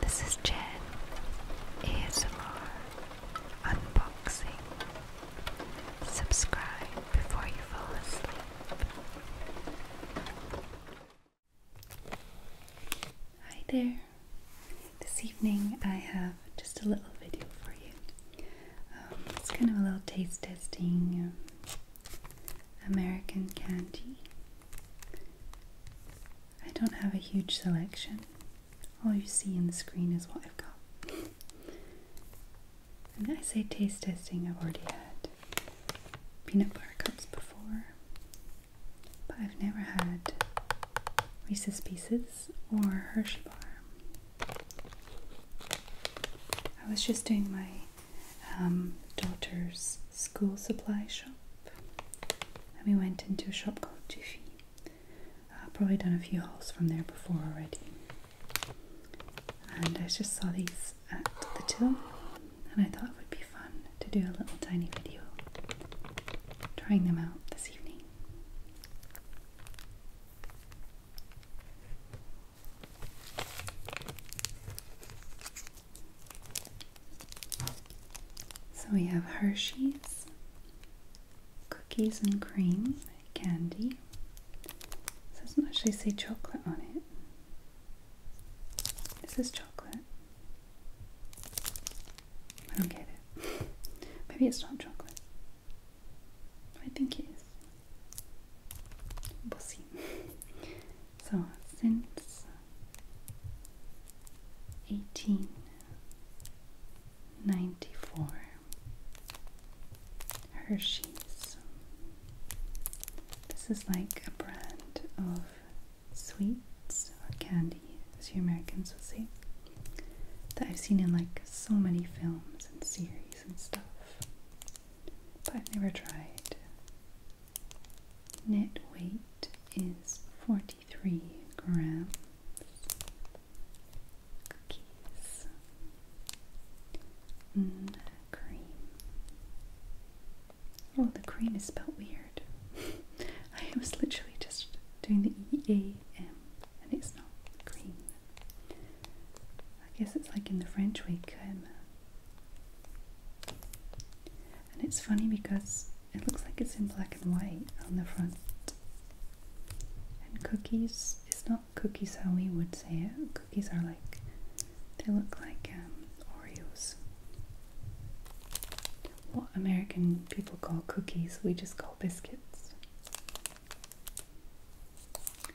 This is Jen ASMR Unboxing. Subscribe before you fall asleep. Hi there. This evening I have just a little video for you. Um, it's kind of a little taste testing um, American candy. I don't have a huge selection. All you see in the screen is what I've got. When I say taste testing, I've already had peanut butter cups before, but I've never had Reese's Pieces or Hershey Bar. I was just doing my um, daughter's school supply shop. And we went into a shop called Jiffy. I've probably done a few hauls from there before already. And I just saw these at the till, and I thought it would be fun to do a little tiny video trying them out this evening. So we have Hershey's, cookies and cream, candy. doesn't actually say chocolate on it. Is this chocolate? I don't get it. Maybe it's not chocolate. I think it is. We'll see. So since 1894, Hershey's. This is like a brand of sweets or candy, as you Americans would say, that I've seen in like so many films and series and stuff but I've never tried. Net weight is 43 grams. Cookies. Mm, cream. Oh, the cream is spelled weird. I was literally just doing the E A M and it's not cream. I guess it's like in the French way, And it's funny because it looks like it's in black and white on the front. And cookies, it's not cookies how we would say it. Cookies are like, they look like um, Oreos. What American people call cookies, we just call biscuits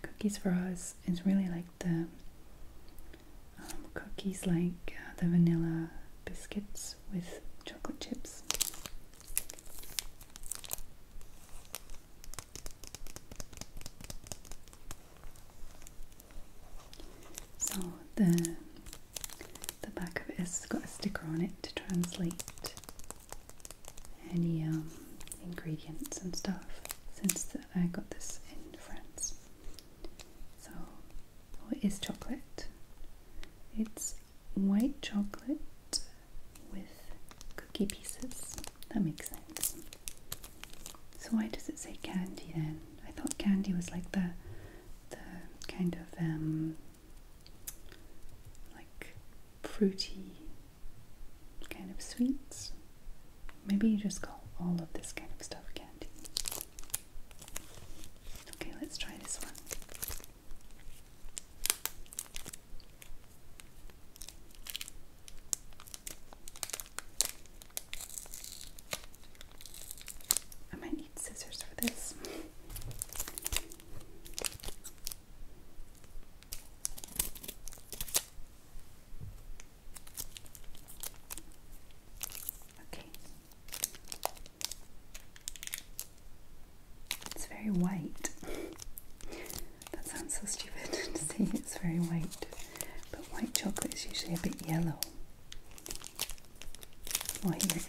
cookies for us is really like the um, cookies like uh, the vanilla biscuits with chocolate chips. So the the back of it has got a sticker on it to translate any um, ingredients and stuff since I got this in France. So, what is chocolate. It's white chocolate with cookie pieces. That makes sense. So why does it say candy then? I thought candy was like the the kind of um, like fruity kind of sweets. Maybe you just call all of this kind of stuff candy. Okay, let's try this one. I might need scissors for this. It's very white. that sounds so stupid to say it's very white, but white chocolate is usually a bit yellow. Well, here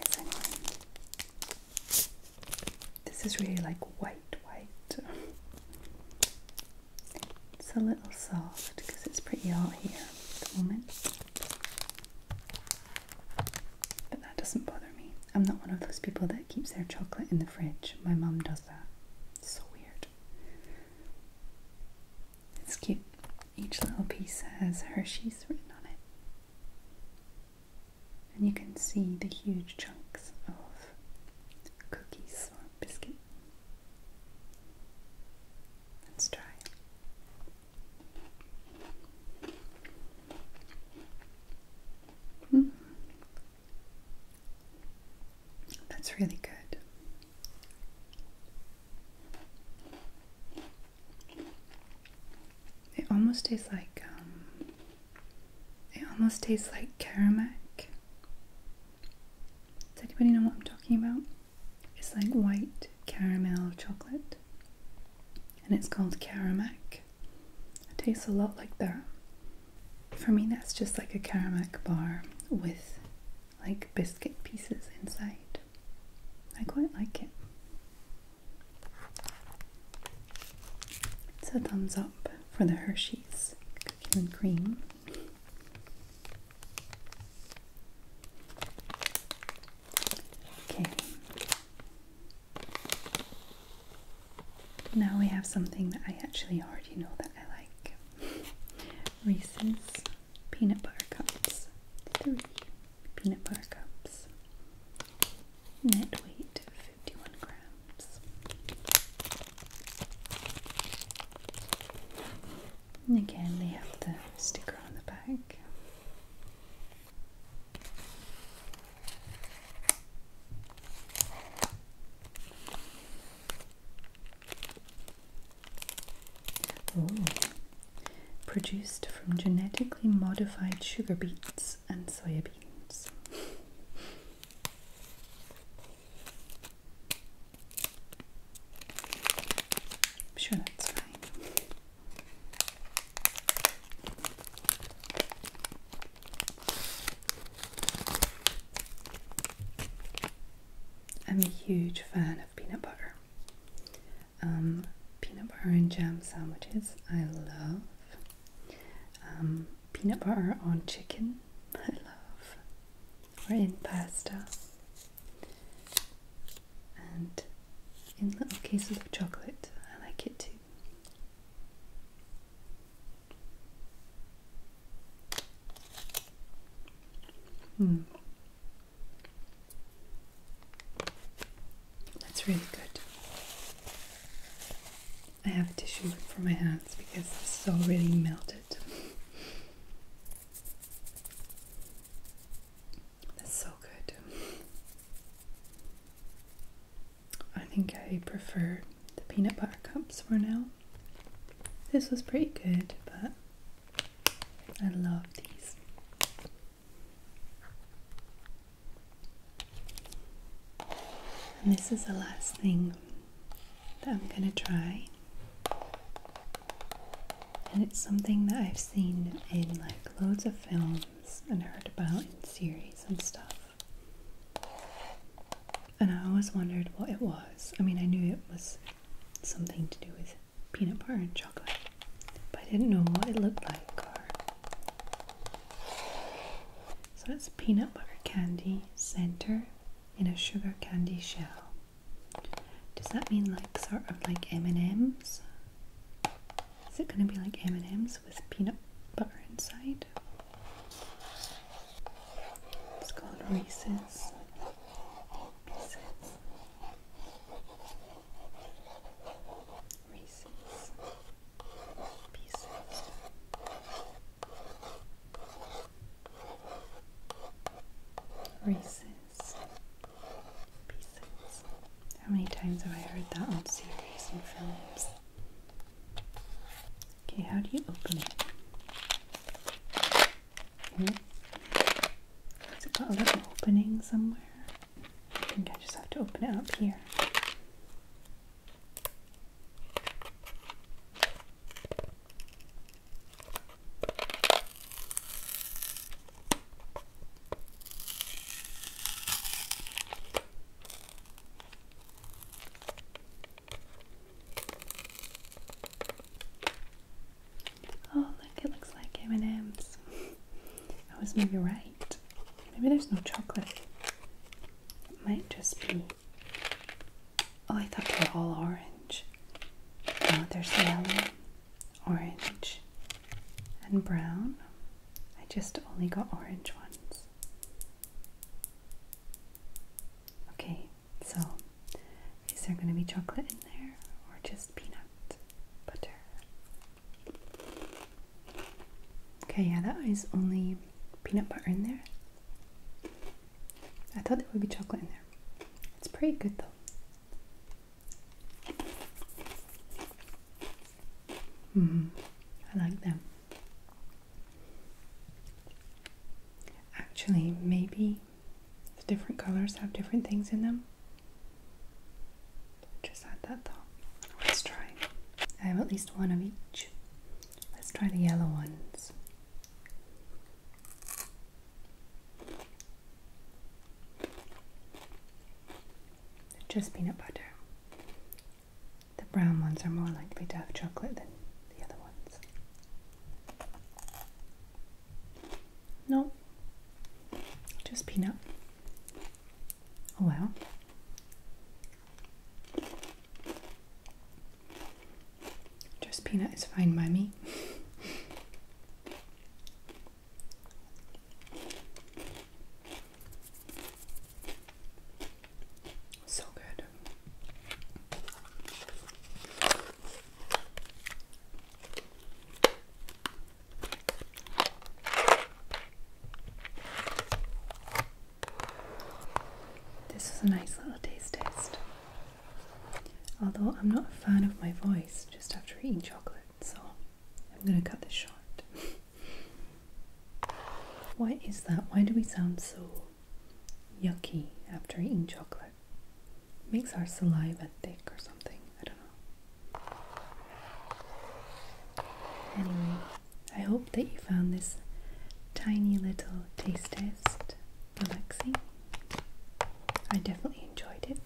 this is really like white, white. It's a little soft because it's pretty hot here at the moment. But that doesn't bother me. I'm not one of those people that keeps their chocolate in the fridge. My mum does that. It's so weird. It's cute. Each little piece has Hershey's written on it and you can see the huge chunks of cookies or biscuit. Let's try hmm. That's really good. It almost tastes like um, it almost tastes like Karamek. Does anybody know what I'm talking about? It's like white caramel chocolate, and it's called Karamek. It tastes a lot like that. For me, that's just like a Karamek bar with like biscuit pieces inside. I quite like it. It's a thumbs up for the Hershey's cookie and cream. Okay. Now we have something that I actually already know that I like. Reese's peanut butter cups. Three peanut butter cups. Net weight 51 grams. And again, they have the sticker on the back. Produced from genetically modified sugar beets and soybeans. I'm sure that's fine. I'm a huge fan of peanut butter um, peanut butter and jam sandwiches. I love um, peanut butter on chicken. I love or in pasta and in little cases of chocolate. I like it too. Mm. That's really good. I have a tissue for my hands because this is all really melted. That's so good. I think I prefer the peanut butter cups for now. This was pretty good, but I love these. And this is the last thing that I'm going to try. And it's something that I've seen in like loads of films and heard about in series and stuff. And I always wondered what it was. I mean, I knew it was something to do with peanut butter and chocolate but I didn't know what it looked like. So it's peanut butter candy center in a sugar candy shell. Does that mean like sort of like M&M's? Is it going to be like M&M's with peanut butter inside? It's called Reese's Reese's Pieces. Reese's Pieces. How many times have I heard that on series and films? Okay, how do you open it? Mm-hmm. it Has got a little opening somewhere? I think I just have to open it up here. Oh look, it looks like M&M's. I was maybe right. Maybe there's no chocolate. It might just be... Oh, I thought they were all orange. No, there's yellow, orange, and brown. I just only got orange ones. Okay, so, is there going to be chocolate in there or just peanut butter? Okay, yeah, that is only peanut butter in there. I thought there would be chocolate in there. It's pretty good though. Mm, I like them. Actually, maybe the different colors have different things in them. Just add that thought. Let's try. I have at least one of each. Let's try the yellow ones. They're just peanut butter. The brown ones are more likely to have chocolate than the other ones. No, just peanut. Oh well. Just peanut is fine, mummy. so good. This was a nice little taste test. Although I'm not a fan of my voice just after eating chocolate, so I'm going to cut this short. Why is that? Why do we sound so yucky after eating chocolate. Makes our saliva thick or something. I don't know. Anyway, I hope that you found this tiny little taste test relaxing. I definitely enjoyed it.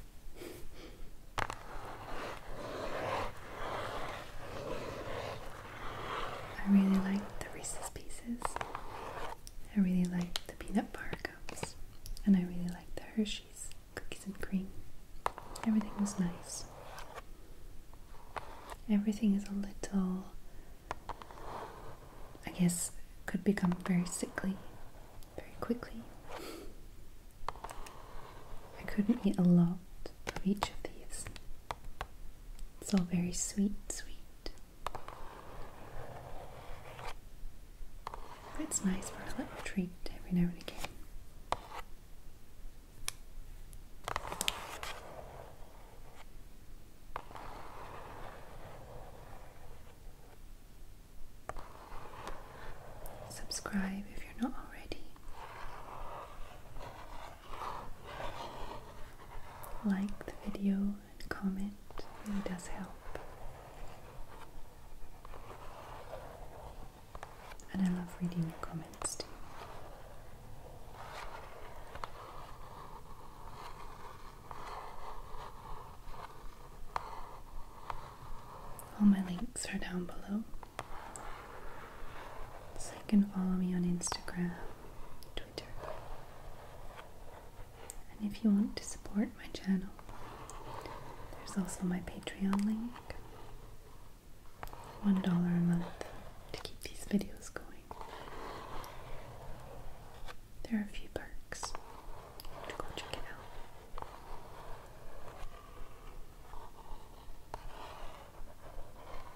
I really like the Reese's Pieces. I really like the peanut bar cups. And I really like the Hershey's cookies and cream. Everything was nice. Everything is a little, I guess, could become very sickly very quickly. I couldn't eat a lot of each of these. It's all very sweet, sweet. it's nice for a little treat every now and again. Subscribe if you're not already like the video and comment, it really does help. And I love reading your comments too. All my links are down below. So you can follow me on Instagram Twitter. And if you want to support my channel, there's also my Patreon link. $1 a month to keep these videos going. There are a few perks. go check it out.